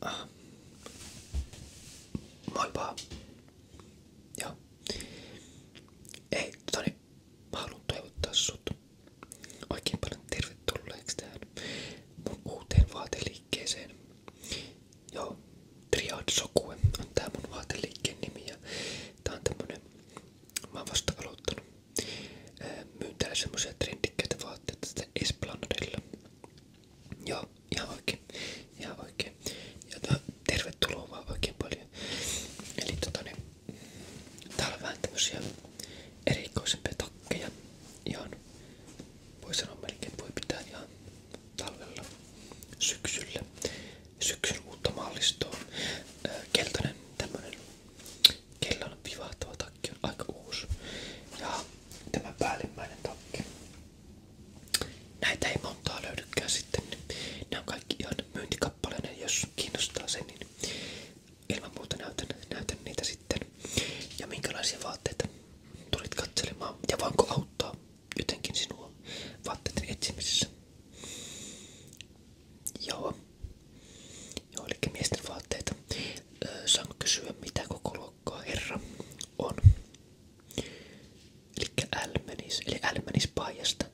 Ah. Moi vaan. Joo. Ei, Toni, mä haluan toivottaa sut oikein paljon tervetulleeksi tähän mun uuteen vaateliikkeeseen. Joo, Triad Sokue on tää mun vaateliikkeen nimi ja tää on tämmönen, mä oon vasta aloittanut. Myyn täällä semmosia trendikkäitä vaatteita tästä Esplanadella. Joo, ihan oikein. Ihan oikein. Ja tota, tervetuloa vaan oikein paljon. Eli tota niin, täällä on vähän tämmösiä erikoisempia takkeja. Ihan voi sanoa melkein, voi pitää ihan talvella, syksyllä, syksyn uutta mallistoa. Keltainen tämmönen kellon vivahtava takki on aika uusi. Ja tämä päällimmäinen takki. Näitä ei montaa löydykään sitten. Nämä niin on kaikki ihan myyntikappaleinen, jos kiinnostaa se, niin ilman muuta näytän, näytän niitä sitten. Ja minkälaisia vaatteita tulit katselemaan ja voinko auttaa jotenkin sinua vaatteiden etsimisessä. Joo. Joo, eli miesten vaatteita. Öö, saanko kysyä mitä koko luokkaa on? Elikkä älmenis, eli älmenis paijasta.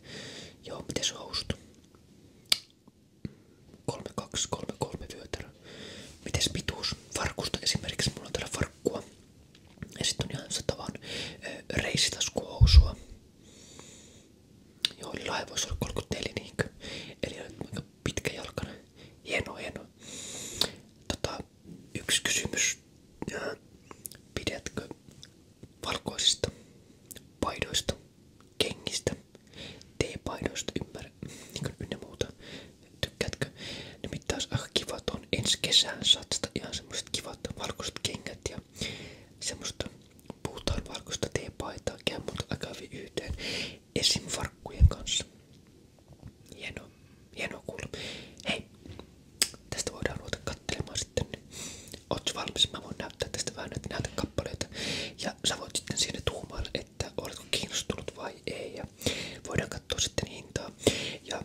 Joo, miten se houstu? 3233 vyötärö. Mites pituus? Farkusta esimerkiksi, mulla on täällä farkkua. Ja on ihan satavan reisitaskuhousua. Joo, on 34 niinkö. Eli pitkä jalkainen. Hieno, hieno. Tota, yksi kysymys. Pidätkö valkoisista paidoista, kengistä, te-paidoista ymmärrä, niin ynnä muuta? Tykkäätkö? Nimittäin olisi aika ah, kiva, että on ensi kesään satsata ihan semmoset kivat valkoiset kengät ja semmoista puhutaan valkoista teepaitaa, käy mut aika hyvin yhteen esim. farkkujen kanssa. Hieno, hieno kuulla. Hei, tästä voidaan ruveta kattelemaan sitten. Ootko valmis? Mä voin näyttää tästä vähän näitä kappaleita Ja sä voit sitten siinä tuumailla, että oletko kiinnostunut vai ei. Ja voidaan katsoa sitten hintaa. Ja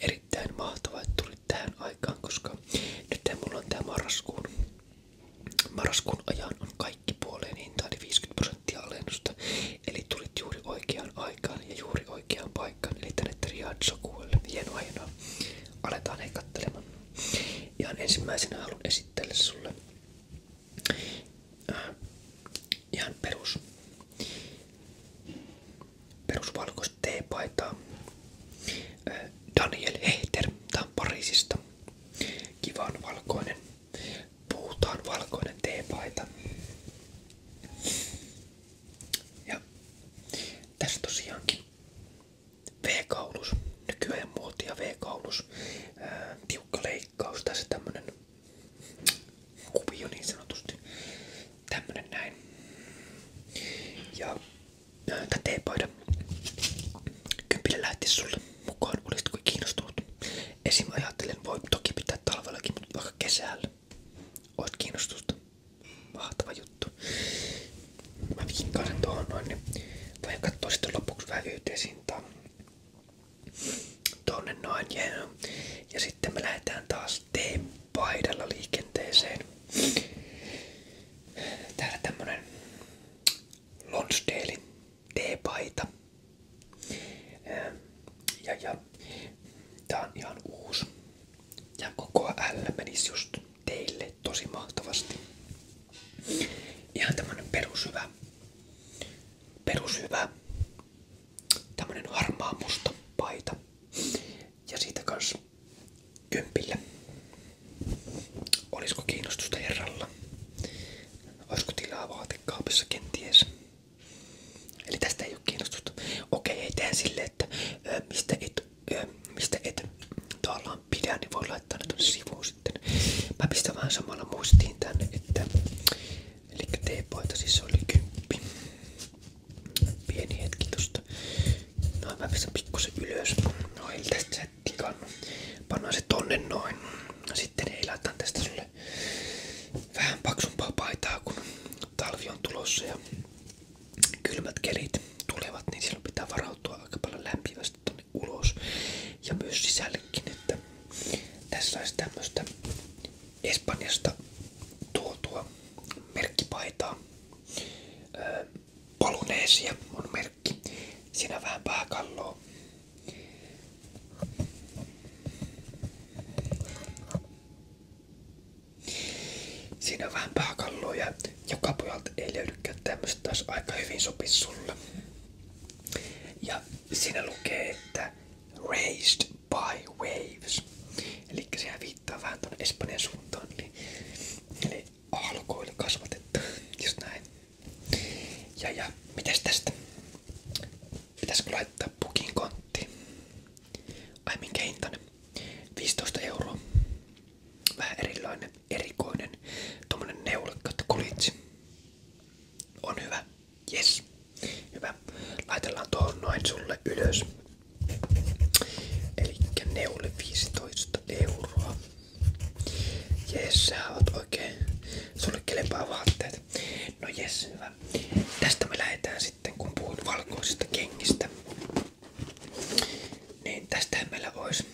erittäin mahtavaa, että tulit tähän aikaan, koska nyt mulla on tää marraskuun, marraskuun ajan on kaikki puoleen hintaan, eli 50 prosenttia alennusta. Eli tulit juuri oikeaan aikaan ja juuri oikeaan paikkaan, eli tänne Triad-sokuelle. Hienoa, hienoa. Aletaan hei kattelemaan. Ihan ensimmäisenä haluan esitellä sulle äh, ihan perus perusvalkoista teepaitaa. Äh, Daniel Heiter, tää on Pariisista. Kivan valkoinen Puhutaan valkoinen teepaita. Ja tässä tosiaankin V-kaulus, nykyään muotia V-kaulus, ää, tiukka leikkaus, tässä tämmönen kuvio niin sanotusti, tämmönen näin. Ja ää, tää teepaita, kympille lähti sulle mukaan, olisitko kiinnostunut? Esim. ajattelen, voi toki pitää talvellakin, mutta vaikka kesällä. Oot kiinnostusta. Mahtava juttu. Mä vinkkaan tuohon noin, niin voin katsoa sitten lopuksi vähän yhteisintaa. Tonne noin, yeah. ja sitten me lähdetään taas T-paidalla liikenteeseen. Täällä tämmönen Lonsdalein T-paita. Ja, ja tää on ihan uusi. Ja koko L menisi just teille tosi mahtavasti. Ihan tämmönen perushyvä. Perushyvä. Tämmönen harmaa musta paita. Ja siitä kans kympillä. Olisiko kiinnostusta herralla? Olisiko tilaa vaatekaapissa kenties? Eli tästä ei ole kiinnostusta. Okei, ei tehdä silleen, että ö, mistä et, ö, mistä et tavallaan pidä, niin voi laittaa ne tuonne sivuun sitten. Mä pistän vähän samalla muistiin tänne, että eli teepoita siis oli kymppi. Pieni hetki tosta. No mä pistän pikkusen ylös. No eli tästä tikannut. Pannaan se tonne noin. No sitten ei laitan tästä sulle vähän paksumpaa paitaa, kun talvi on tulossa ja kylmät kelit tulevat, niin silloin pitää varautua aika paljon lämpimästi tonne ulos ja myös sisällekin, että tässä olisi tämmöstä Espanjasta tuotua merkkipaitaa. Öö, Poloneesia on merkki. Siinä vähän pääkalloa, Siinä on vähän pääkalloa ja joka puolelta ei löydykään tämmöstä taas aika hyvin sopisi sulle. Ja siinä lukee, että raised by waves. Eli sehän viittaa vähän tuonne Espanjan suuntaan. Niin- eli, eli aalkoilla kasvatettu, just näin. Ja ja, mitäs tästä? Pitäisikö laittaa pukin kontti? Ai minkä hintainen? 15 euroa. Vähän erilainen, erikoinen, tommonen neulakkaat kulitsi. On hyvä. Yes. Hyvä. Laitellaan tuohon noin sulle ylös. Elikkä neule 15 euroa. Jes, sä oot oikein suunnittelempaa vaatteet. No jes, hyvä. Tästä me lähdetään sitten, kun puhut valkoisista kengistä. Niin tästähän meillä olisi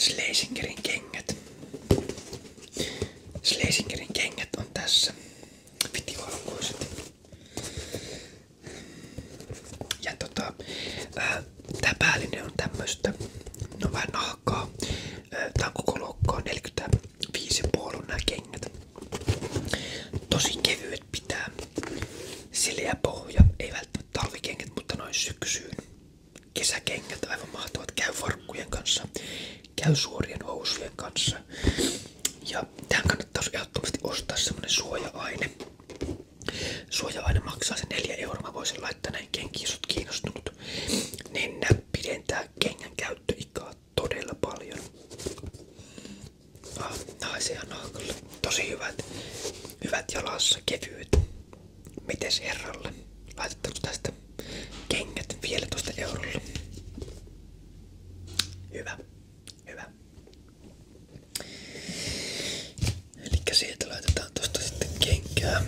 Schlesingerin kengät. Schlesingerin kengät on tässä. Vitivalkoiset. Ja tota, äh, Tää päällinen on tämmöstä, no vähän nahkaa. Tää on koko luokkaa 45,5 on nämä kengät. Tosi kevyet pitää. Sileä pohja, ei välttämättä talvikengät, mutta noin syksyyn. Kesäkengät aivan mahtavat. Käy farkkujen kanssa, käy suorien housujen kanssa. Ja tähän kannattaa ehdottomasti ostaa semmonen suoja-aine. Suoja aina maksaa se 4 euroa. Mä voisin laittaa näin kenkiin, jos oot kiinnostunut. Niin pidentää kengän käyttöikää todella paljon. Ah, naisia naakalle. Tosi hyvät, hyvät jalassa, kevyet. Mites herralle? Laitetaanko tästä kengät vielä tosta eurolla? Hyvä, hyvä. Eli siitä laitetaan tosta sitten kenkää.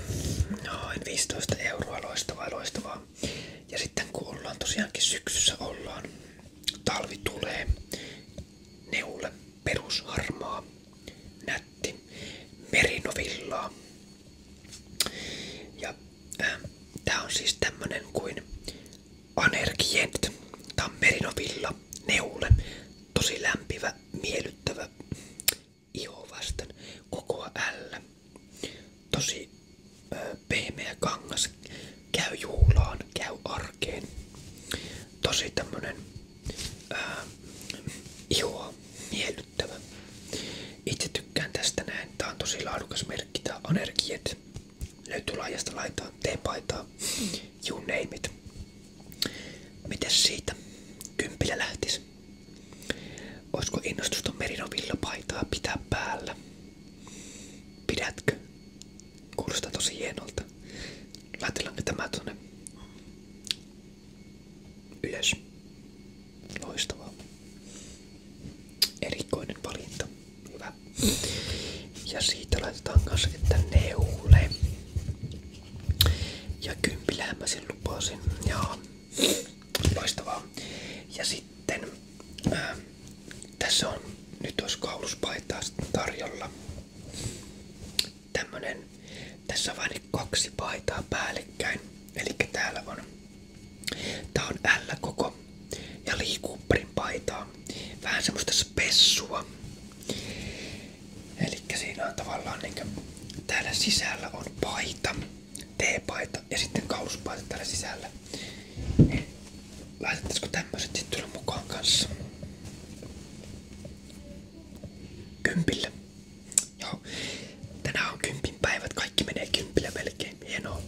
Noin 15 euroa, loistavaa, loistavaa. Ja sitten kun ollaan tosiaankin syksyssä ollaan, talvi tulee, neule, perusharmaa, nätti, merinovillaa. Ja äh, tää on siis tämmönen kuin Anergient. Tää on merinovilla, neule, tosi lämpivä, miellyttävä iho vasten kokoa L. Tosi ö, pehmeä kangas käy juhlaan, käy arkeen. Tosi tämmönen ö, ihoa miellyttävä. Itse tykkään tästä näin. Tää on tosi laadukas merkki. Tää on energiet. Löytyy laajasta laitaan. T-paitaa. You name it. Mites siitä? Kympillä lähtis. Oisko innostusta Merino villapaitaa pitää päällä? Pidätkö? Kuulostaa tosi hienolta. Laitellaanko tämä tonne ylös? Loistavaa. Erikoinen valinta. Hyvä. Ja siitä laitetaan kanssa, että neule. Ja kympillähän mä sen lupasin. Ja loistavaa. Ja sitten ää, tässä on nyt olisi kauluspaitaa tarjolla. Tämmönen, tässä on vain kaksi paitaa päällekkäin. Eli täällä on, tää on L-koko ja liikuprin paitaa. Vähän semmoista spessua. Eli siinä on tavallaan niin täällä sisällä on paita, T-paita ja sitten kauluspaita täällä sisällä. Niin laitettaisiko tämmöiset sitten mukaan kanssa? Kympillä. Joo. Tänään on päivät, kaikki menee kympillä melkein. Hienoa.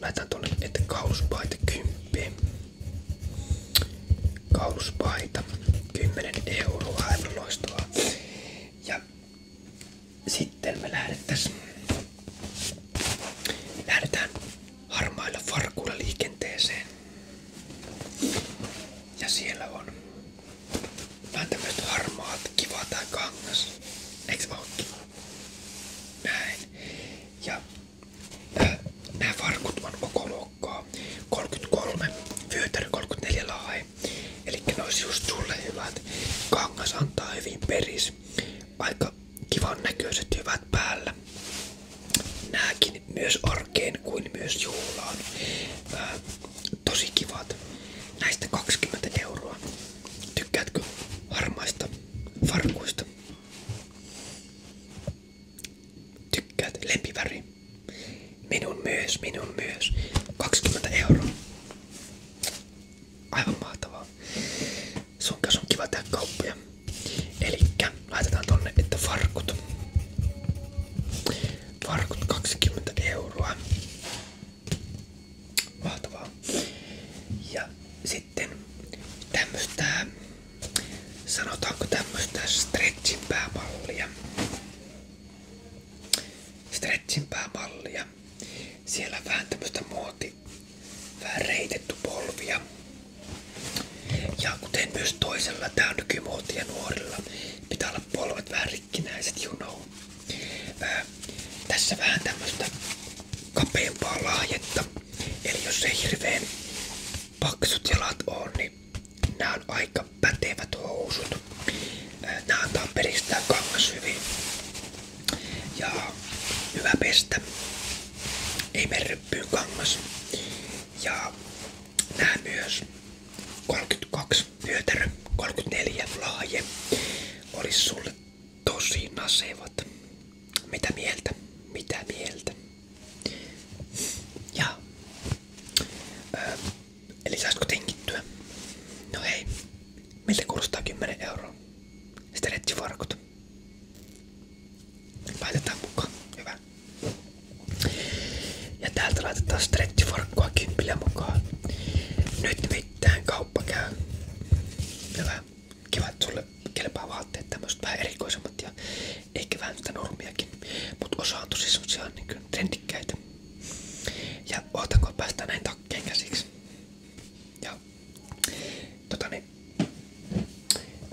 Laitan tuonne, että kauluspaita kymppiin kauluspaita. 10 euroa, aivan loistavaa. Ja sitten me lähdettäisiin lähdetään harmailla farkuilla liikenteeseen. Ja siellä on Nää harmaat, kiva tää kangas. Näin. Ja nää, farkut on koko luokkaa. 33, vyötärö 34 lahe. Eli ne olisi just sulle hyvät. Kangas antaa hyvin peris. Aika kivan näköiset hyvät päällä. Nääkin myös arkeen kuin myös juhlaan. Ää, tosi kivat. Näistä 20 euroa. Tykkäätkö harmaista farkuista? Tykkäät lempiväri. Minun myös, minun myös. 20 euroa. Aivan mahtavaa. Sun kanssa on kiva tehdä kauppoja. Elikkä laitetaan tonne, että farkut. Farkut 20 euroa. Mahtavaa. Ja sitten tämmöstä sanotaanko tämmöistä stretchin päämallia. Stretchin päämallia. Siellä vähän tämmöistä muoti, vähän reitetty polvia. Ja kuten myös toisella, tää on nykymuotia nuorilla. Pitää olla polvet vähän rikkinäiset, you know. Ää, tässä vähän tämmöstä kapeampaa laajetta. Eli jos ei hirveen paksut jalat on, niin Nämä on aika pätevät housut. Nämä antaa periksi tää kangas hyvin. Ja hyvä pestä. Ei merryppyyn kangas. Ja nämä myös 32 vyötärö, 34 laaje. Olisi sulle tosi nasevat. Mitä mieltä? Mitä mieltä? Ja. Öö, eli saisitko tenkittyä? No hei, miltä kuulostaa 10 euroa? Sitten rettifarkut. Laitetaan mukaan, hyvä. Ja täältä laitetaan stretchifarkkua kympillä mukaan. Nyt mitään kauppa käy. Kiva, että sulle kelpaa vaatteet tämmöset vähän paremmat ja ehkä vähän sitä normiakin, mutta osa on tosi semmosia niin trendikkäitä. Ja ootanko päästä näin takkeen käsiksi. Ja tota niin.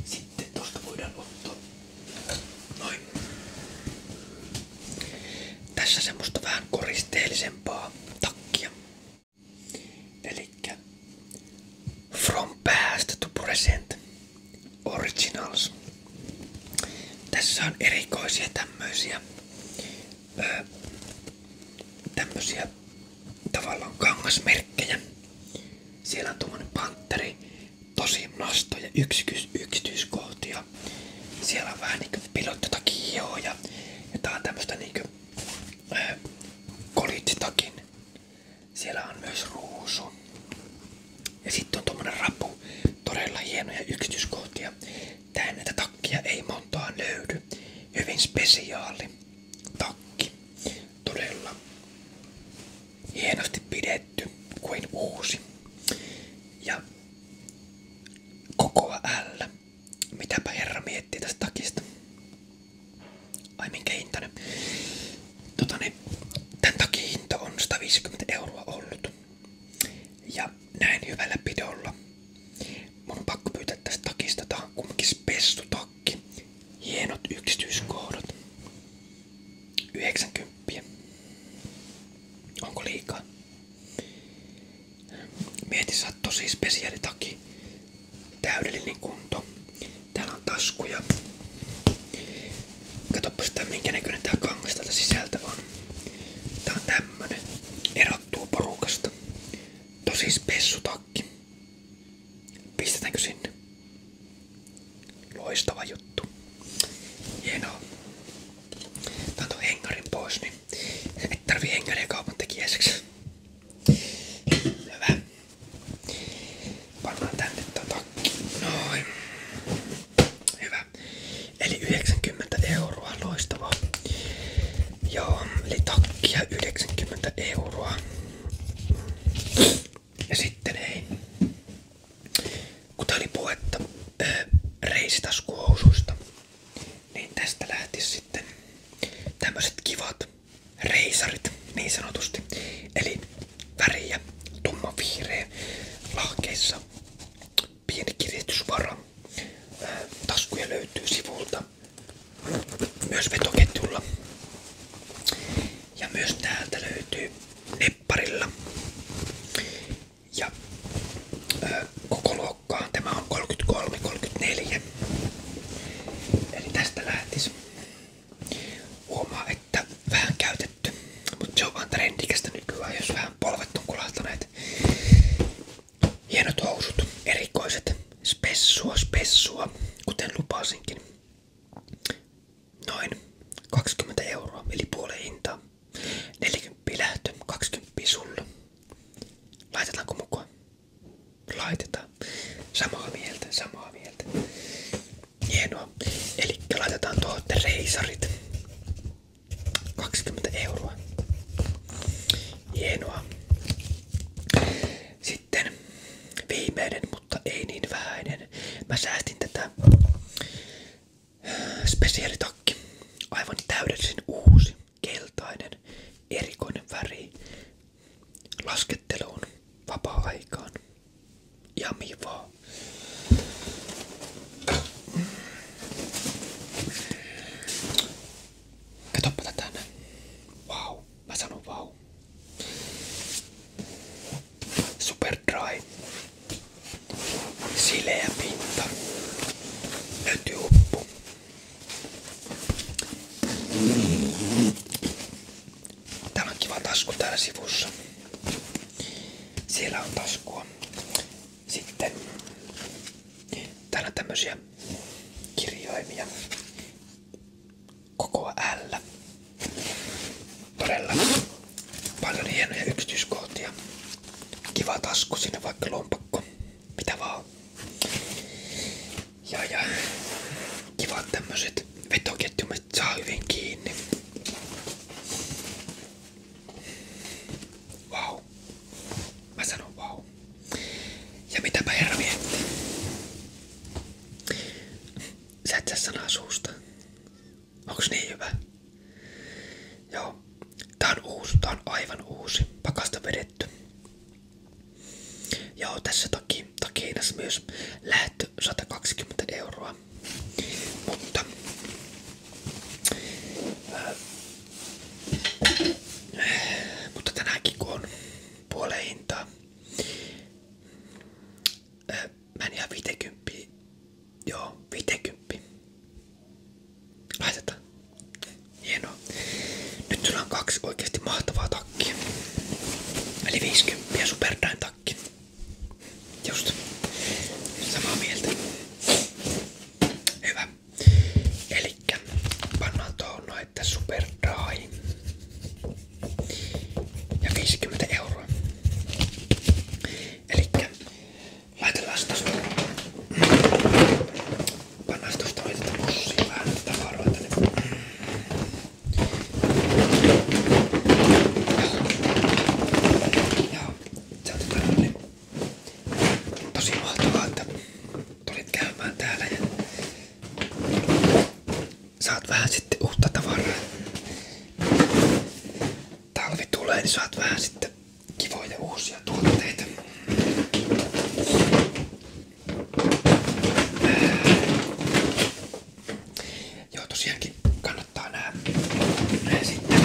Sitten tosta voidaan ottaa noin. Tässä semmoista vähän koristeellisempaa takkia. Elikkä From past to present. Originals. Tässä on erikoisia tämmöisiä, öö, tämmöisiä tavallaan kangasmerkkejä. Siellä on tuommoinen panteri, tosi nastoja, yksityis yksityiskohtia. Siellä on vähän niinku pilottitakin joo ja, tää on tämmöstä niinku öö, kolitsitakin siellä on myös ruusu. Ja sitten on tommonen rapu. Todella hienoja yksityiskohtia. Tähän näitä takkia ei montaa löydy. Hyvin spesiaali takki. Todella hienosti pidetty kuin uusi. Ja koko L. Mitäpä herra miettii tästä takista? Ai minkä hintainen? tota niin, tämän takia hinta on 150 euroa ollut. Ja näin hyvällä pidolla. Mun on pakko pyytää tästä takista. Tää on kumminkin spessutakki. Hienot yksityiskohdat. 90. Onko liikaa? Mieti, sä oot tosi spesiaalitaki. Täydellinen kunto. Täällä on taskuja. Katsopas tää minkä näköinen tää kangas täältä sisältä on. Tää on tämmönen. Erottuu porukasta. Tosi spessutakki. Pistetäänkö sinne? Loistava juttu. Hienoa. Tää on hengarin pois, niin et tarvii hengaria kaupan tekijäiseksi. Hyvä. Pannaan tänne tää takki. Noin. Hyvä. Eli 90 euroa. Loistavaa. Joo, eli takkia 90 euroa. Ja sitten ei. Kuten oli puhetta äh, reisitaskuhousuista, niin tästä lähti sitten tämmöiset kivat reisarit niin sanotusti. Eli väriä, tumma viireä, lahkeissa pieni kiristysvara. Taskuja löytyy sivulta, myös vetoketjulla. Ja myös täältä löytyy nepparilla. Ja ö, koko luokkaan tämä on 33-34. Eli tästä lähtisi Huomaa, että vähän käytetty, mutta se on vaan trendikästä nykyään, jos vähän polvet on kulahtaneet. Hienot housut, erikoiset, spessua, spessua, kuten lupasinkin. Noin 20 euroa, eli puoleen hintaa. 40 lähtö, 20 sulla. Laitetaanko mukaan? Laitetaan. Samaa mieltä, samaa mieltä. Hienoa. Eli laitetaan tuohon reisarit. 20 euroa. Hienoa. Sitten viimeinen, mutta ei niin vähäinen. Mä säästin tätä spesiaalitakki. Aivan täydellisen uusi, keltainen, erikoinen väri lasketteluun, vapaa-aikaan. Yummy va. Că top patatane. Wow, mä sanon wow. Super dry. Sileä pinta. Löytyy uppu. Täällä on kiva tasku täällä sivussa. Siellä on taskua. Sitten täällä on tämmösiä kirjaimia. Koko L. Todella paljon hienoja yksityiskohtia. Kiva tasku sinne vaikka lompakko. Mitä vaan. Ja ja kivat tämmöset vetoketjumet saa hyvin kiinni. Vau. Wow. Mä sanon vau. Wow. Ja mitäpä herra miettii? Sä et saa sanaa suusta. Onks niin hyvä? Joo. Tää on uusi, tää on aivan uusi. Pakasta vedetty. Joo, tässä taki, takiinassa myös lähtö 120 euroa. Mutta äh, mutta tänäänkin kun on puoleen hintaa, äh, mä en ihan 50, joo 50. Laitetaan. Hienoa. Nyt sulla on kaksi oikeasti mahtavaa takki. Eli 50 Superdine takki. Just. Samaa mieltä. Hyvä. Elikkä pannaan tuohon noin, että Ja 50 euroa. Elikkä laitellaan tosta. Pannaan tosta laitetaan pussiin vähän Joo, se on niin tosi mahtavaa, että tulit käymään täällä ja saat vähän sitten uutta tavaraa. Talvi tulee, niin saat vähän sitten kivoja uusia tuotteita. Joo, tosiaankin kannattaa nää, nää sitten.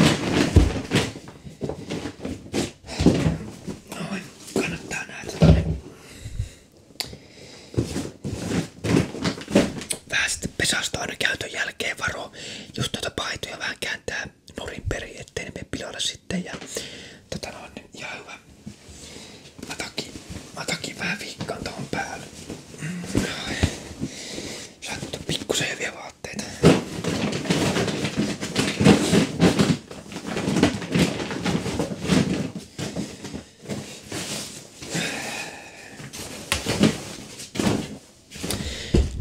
Noin, niin, kannattaa näitä tonne. Tota niin. Vähän sitten pesasta aina käytön jälkeen varo, just noita paitoja vähän kääntää nurin perin, ettei ne mene pilalle sitten. Ja, tota noin, ihan hyvä hyvä. Mä takin, mä takin vähän viikkaan tuohon päälle. Mm. Sattu pikkusen hyviä vaatteita.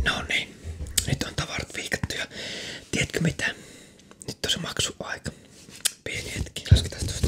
No niin, nyt on tavarat viikattu ja tiedätkö mitä? Nyt on se maksuaika. Pieni hetki, lasketaan tuosta.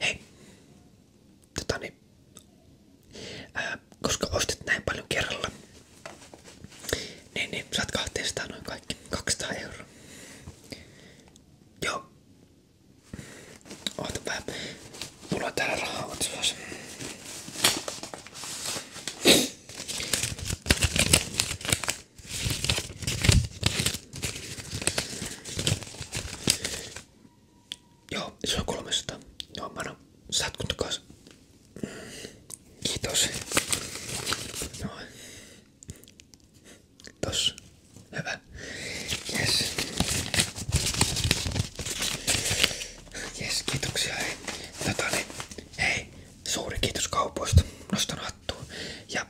Hei, totani, niin, ää, koska ostit näin paljon kerralla, niin, niin saat kahteestaan noin kaikki 200 euroa. Joo. Oota vähän. Mulla on täällä rahaa, oot suos. Joo, se on Joo, mä annan. Saat kiitos. Noin. Tossa. Hyvä. Yes. Jes, kiitoksia. Hei. Tota, niin. hei, suuri kiitos kaupoista. Nostan hattua. Ja